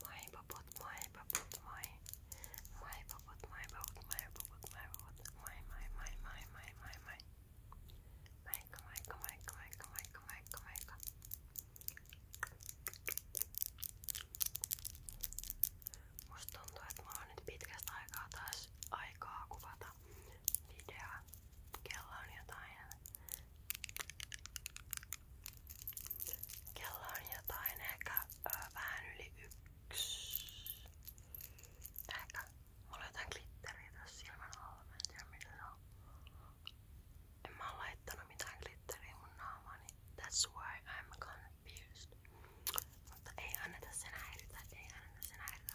Moi popot, moi popot, moi. Moi popot, moi popot, moi popot, moi popot. Moi, moi, moi, moi, moi, moi, moi. Moikka, moikka, moikka, moikka, moikka, moikka, moikka. Musta tuntuu, että mulla on nyt pitkästä aikaa taas aikaa kuvata videoa. Kello on jotain Kello on jotain ehkä ö, vähän yli yksi. Ehkä. Mulla on jotain glitteriä tässä silmän alla. Mä en tiedä mitä se on. En mä oo laittanut mitään glitteriä mun naamani. Niin that's why I'm confused. Mutta ei anneta sen häiritä. Ei anneta sen häiritä.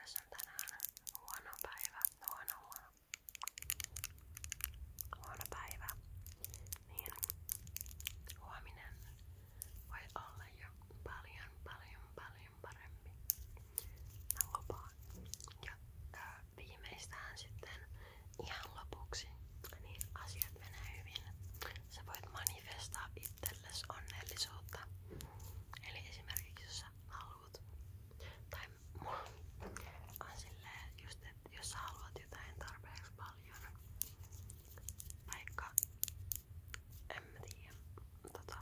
jos on tänään huono päivä, huono huono, huono päivä, niin huominen voi olla jo paljon paljon paljon parempi. Mä lupaan. Ja ää, viimeistään sitten ihan lopuksi niin asiat menee hyvin. Sä voit manifestaa itsellesi onnellisuutta. Eli esimerkiksi jos sä haluat oot. Tai mua on silleen just, että jos sä haluat jotain tarpeeksi paljon, vaikka en mä tiedä, tota,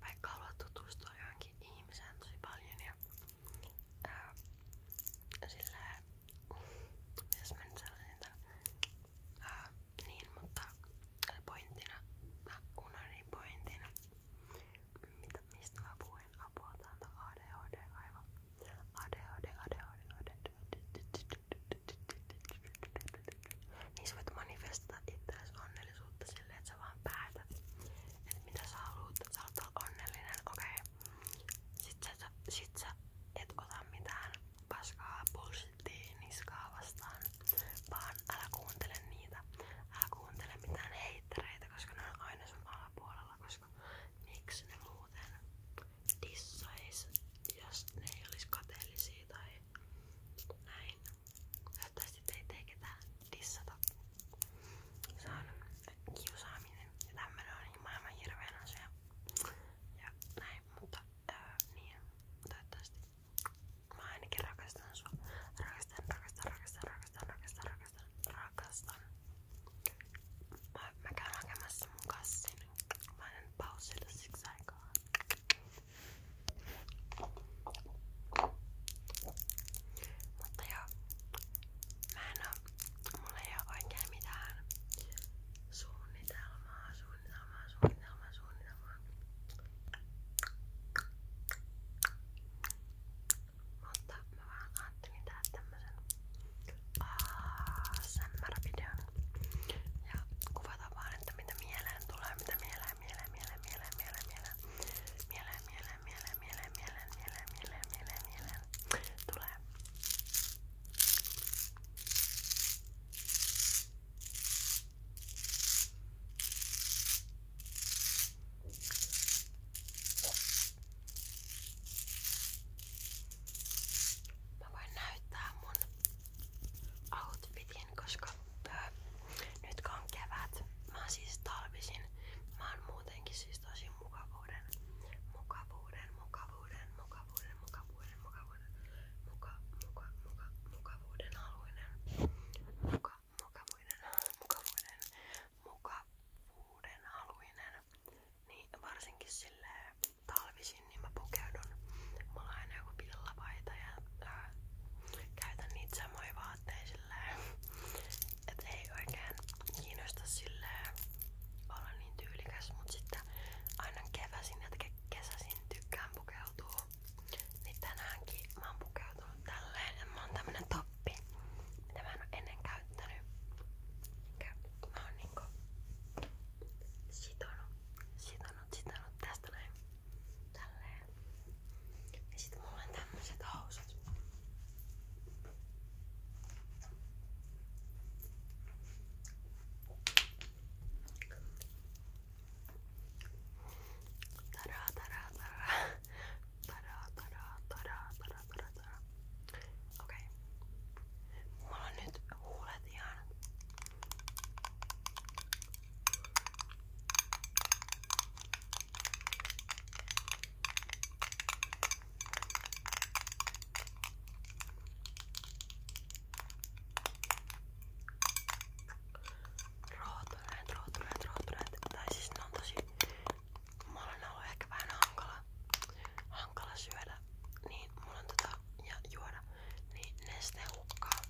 vaikka haluat tutustua johonkin ihmiseen tosi paljon ja ää, silleen, mitäs mä nyt sanoisin, ää, niin, mutta pointtina, mä unohdin niin pointtina, Mitä, mistä mä puhuin apua täältä ADHD aivan. ADHD, ADHD, ADHD. Niin sä voit manifestata itseäsi onnellisuutta silleen, että sä vaan päätät, että mitä sä haluut, sä haluat olla onnellinen, okei. Okay. Sit, sit sä et ota mitään paskaa polsittiin niskaa vastaan. Vaan älä kuuntele niitä. Älä kuuntele mitään heittereitä, koska ne on aina sun alapuolella. Koska miksi ne muuten dissais, jos ne ei olisi kateellisia tai näin. Toivottavasti teitä ei ketään dissata. Se on kiusaaminen ja tämmönen on maailman hirveän asia. Ja näin, mutta öö, niin, toivottavasti Mä ainakin rakastan sua. Rakastan, rakastan, rakastan, rakastan, rakastan, rakastan, rakastan. Mä, mä käyn hakemassa mun kassin. Mä en pausilla siksi aikaa. Mutta joo, mä en oo, mulla ei oo oikein mitään suunnitelmaa, suunnitelmaa, suunnitelmaa, suunnitelmaa, aina vaan. Mutta mä vaan ajattelin tehdä tämmösen ASMR-videon ja kuvata vaan, että mitä mieleen tulee, mitä mieleen, mieleen, mieleen, mieleen, mieleen, mieleen, mieleen, mieleen, mieleen, mieleen, mieleen, mieleen, mieleen, mieleen, mieleen, tulee. Mä voin näyttää mun outfitin, koska öö, nyt kun on kevät, mä oon siis talvisin, mä oon muutenkin siis tosi mukavuuden, mukavuuden, mukavuuden, mukavuuden, mukavuuden, mukavuuden, mukavuuden, muka, muka, muka, mukavuuden haluinen, muka, mukavuuden, mukavuuden, mukavuuden haluinen, niin varsinkin sille talvisin, niin mä pukeudun. Mulla on aina joku pillapaita ja ää, käytän niitä samoja vaatteita silleen, et ei oikein kiinnosta silleen olla niin tyylikäs, mut sitten aina keväsin ja kesäsin tykkään pukeutua niin tänäänkin mä oon pukeutunut tälleen ja mä oon tämmönen toppi, mitä mä en oo ennen käyttänyt. Mä oon niinku sitonut, sitonut, sitonut tästä näin. Tälleen. Ja sit mulla on tämmöset housut. Tara tara tara tara tara tara tara tara tara. Okei. Okay. Mulla on nyt huulet ihan Rootuneet, rootuneet, rootuneet. Tai siis ne on on ollut ehkä vähän hankala, syödä. Niin mulla on tota ja juoda. Niin neste hukkaa.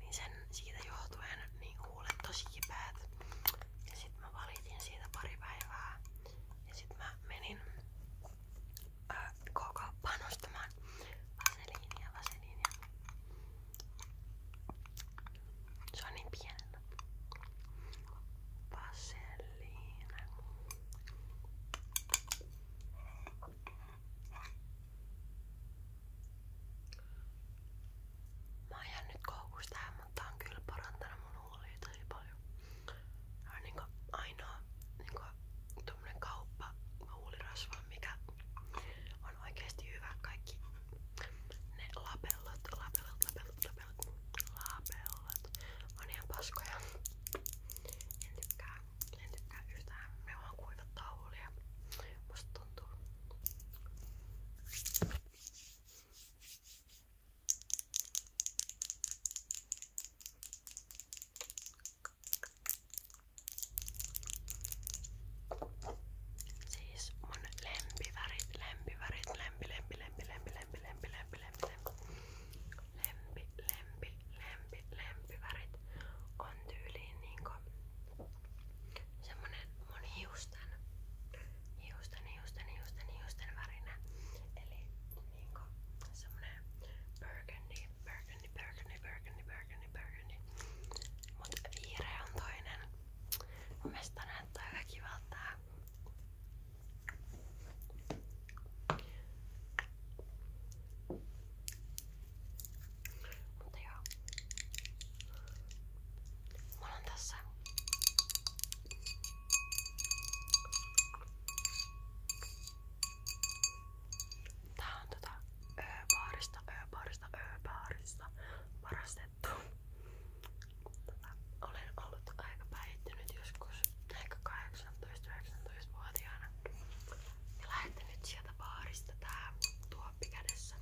Niin sen siitä johtuen niin huulet tosi kipeät. Ja sit mä valitin siitä pari päivää. Ja sit mä menin koko panostamaan vaseliinia, vaseliinia. Se on niin pienellä. Vaseliina. Mä oon jäänyt koukusta tähän, mutta on kyllä parantanut mun huolia tosi paljon. Tää on niinku ainoa niinku tuommoinen kauppa huulirasva, mikä on oikeasti hyvä. Kaikki ne lapellot, lapellot, lapellot, lapellot, lapellot on ihan paskoja. En tykkää, en tykkää yhtään. Me vaan kuivattaa huulia. Musta tuntuu. Siis mun lempivärit, lempivärit, lempi, lempi, lempi, lempi, lempi, lempi, lempi, lempi, lempi, lempi, lempi, lempivärit on tyyliin niinku semmonen mun hiusten, hiusten, hiusten, hiusten, hiusten värinä. Eli niinku semmonen burgundy, burgundy burgundy, burgundy, burgundy, burgundy, burgundy. Mut vihreä on toinen. Mun mielestä näyttää aika kivalta tää. Mutta joo. Mulla on tässä Tää on tota Ö-baarista, Ö-baarista, Ö-baarista varastettu. Tota, olen ollut aika päihtynyt joskus ehkä 18-19-vuotiaana. Ja lähten nyt sieltä baarista tää tuoppi kädessä.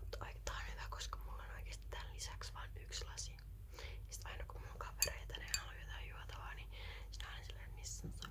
Mutta tää on hyvä, koska mulla on oikeesti tän lisäksi vain yksi lasi. Ja sit aina kun mun kavereita ne haluaa jotain juotavaa, niin sit aina silleen, missä on sun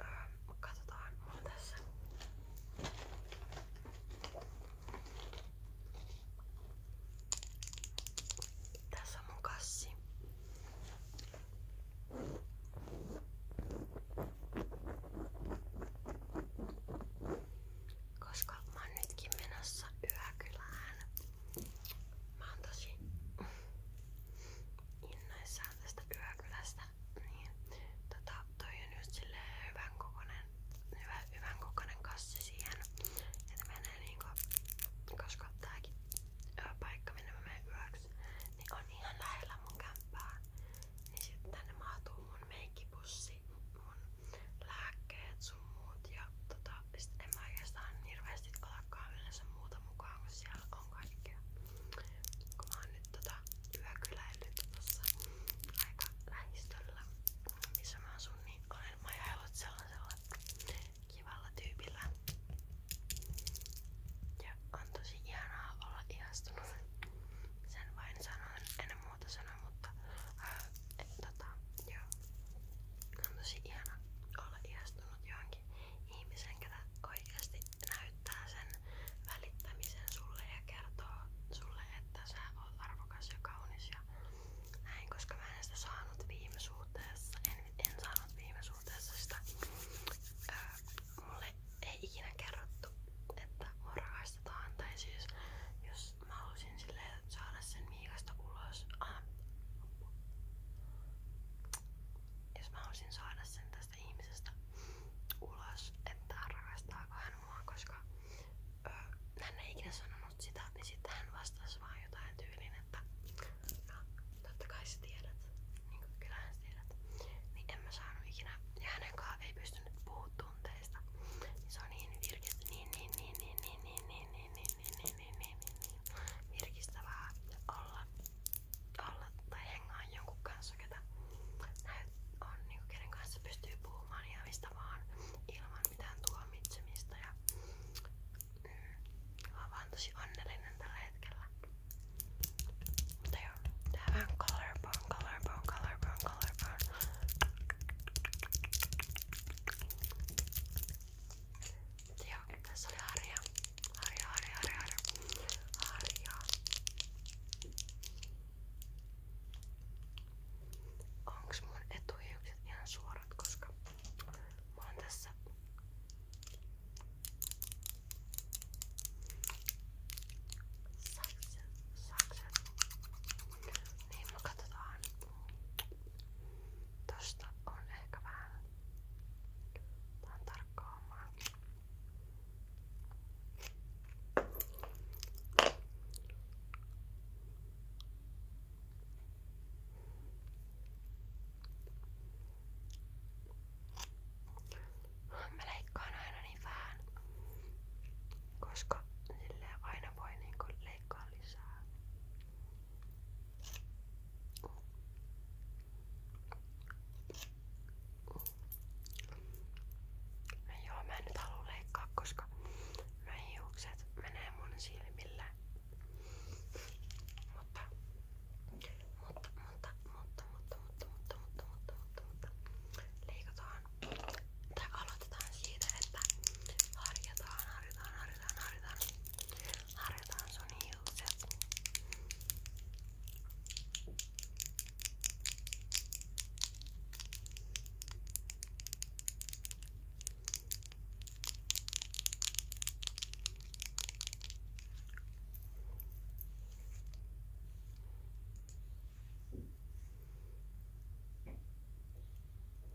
Öö, katsotaan, mulla on tässä. Tässä on mun kassi koska mä oon nytkin menossa yökylään. Mä oon tosi innoissaan tästä yökylästä. Niin, tota, toi on just silleen hyvän kokonen, hyvä, hyvän kokonen kassi siihen. Että menee niinku, koska tääkin paikka minne mä menen yöksi, niin on ihan lähellä mun kämppää. Niin sitten tänne mahtuu mun meikkipussi mun lääkkeet sun muut ja tota, sit en mä oikeastaan hirveesti otakaan yleensä muuta mukaan, kun siellä on kaikkea. Kun mä oon nyt tota yökyläillyt tossa aika lähistöllä, missä mä asun, niin olen majailut sellaisella kivalla tyypillä. Ja on tosi ihanaa olla ihastunut. Sen vain sanon, en muuta sanoa, mutta ää, et, tota, joo. On tosi ihana olla ihastunut johonkin ihmisen, ketä oikeasti näyttää sen välittämisen sulle ja kertoo sulle, että sä oot arvokas ja kaunis ja näin, koska mä en sitä saanut viime suhteessa. En, en saanut viime suhteessa sitä. Ää, mulle ei ikinä kerrottu, että mua rakastetaan tai siis jos Mä halusin silleen saada sen miikasta ulos. Ah. Jos mä halusin saada sen tästä ihmisestä ulos, että rakastaako hän mua, koska ö, hän ei ikinä sanonut sitä, niin sitten hän vastasi vaan jotain tyyliin, että no, totta kai sä tiedät, niin kuin kyllähän sä tiedät. Niin en mä saanut ikinä, ja hänenkaan ei pystynyt puhumaan tunteista. Niin se on niin virkistävä, niin niin niin niin niin niin niin niin, niin niin, niin, niin, niin, niin, niin virkistävää olla, olla tai hengaa jonkun kanssa, ketä on, niin kenen kanssa pystyy puhumaan ja mistä vaan ilman mitään tuomitsemista. Ja, mm, mä oon vaan tosi onnellinen tällä hetkellä. Mutta joo, tää on vähän colorbone, colorbone, colorbone, colorbone. Joo, tässä oli harja. Harja, harja, harja, harja. harja. Onks mun etuhiukset ihan suorat, koska mä oon tässä sakset, sakset. Niin, no katsotaan. Tosta on ehkä vähän Tää tarkkaamaan. Mä leikkaan aina niin vähän, koska silleen aina voi niinku leikkaa lisää. No joo, mä en nyt halua leikkaa, koska mä hiukset menee mun silmille. Mutta, mutta, mutta, mutta, mutta, mutta, mutta, mutta, mutta, mutta, mutta, leikataan tai aloitetaan siitä, että harjataan, harjataan, harjataan, harjataan, harjataan sun hiukset. Okei,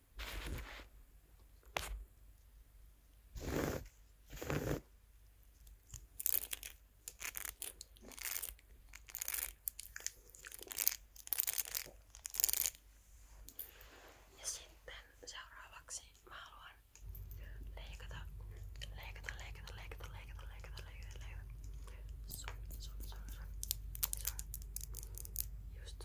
Ja sitten seuraavaksi mä haluan leikata, leikata, leikata, leikata, leikata, leikata, leikata, leikata. Sun, sun, sun, sun, sun. Just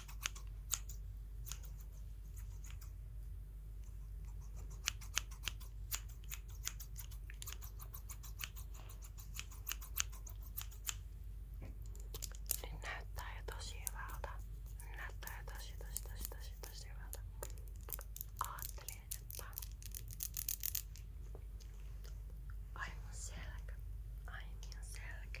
Nyt niin näyttää jo tosi hyvältä. Nyt näyttää jo tosi tosi tosi tosi tosi hyvältä. Ajattelin, että aivan selkä. Ai niin selkä.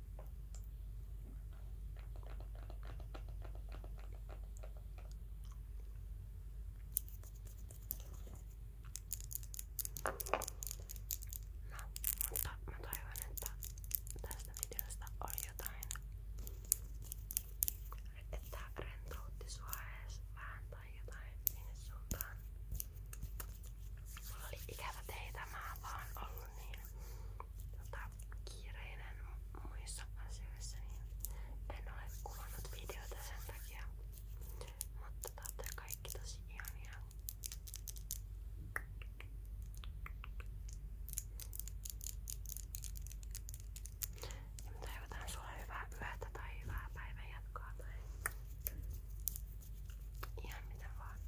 No, mutta mä toivon, että tästä videosta on jotain, että rentoutti sua edes vähän tai jotain sinne suuntaan. Mulla oli ikävä teitä, mä oon vaan ollut ollut niin tota, kiireinen muissa asioissa, niin en ole kuvannut videota sen takia. Mutta te olette kaikki tosi ihania. Ja me toivotan sulle hyvää yötä tai hyvää päivän jatkoa tai ihan mitä vaan.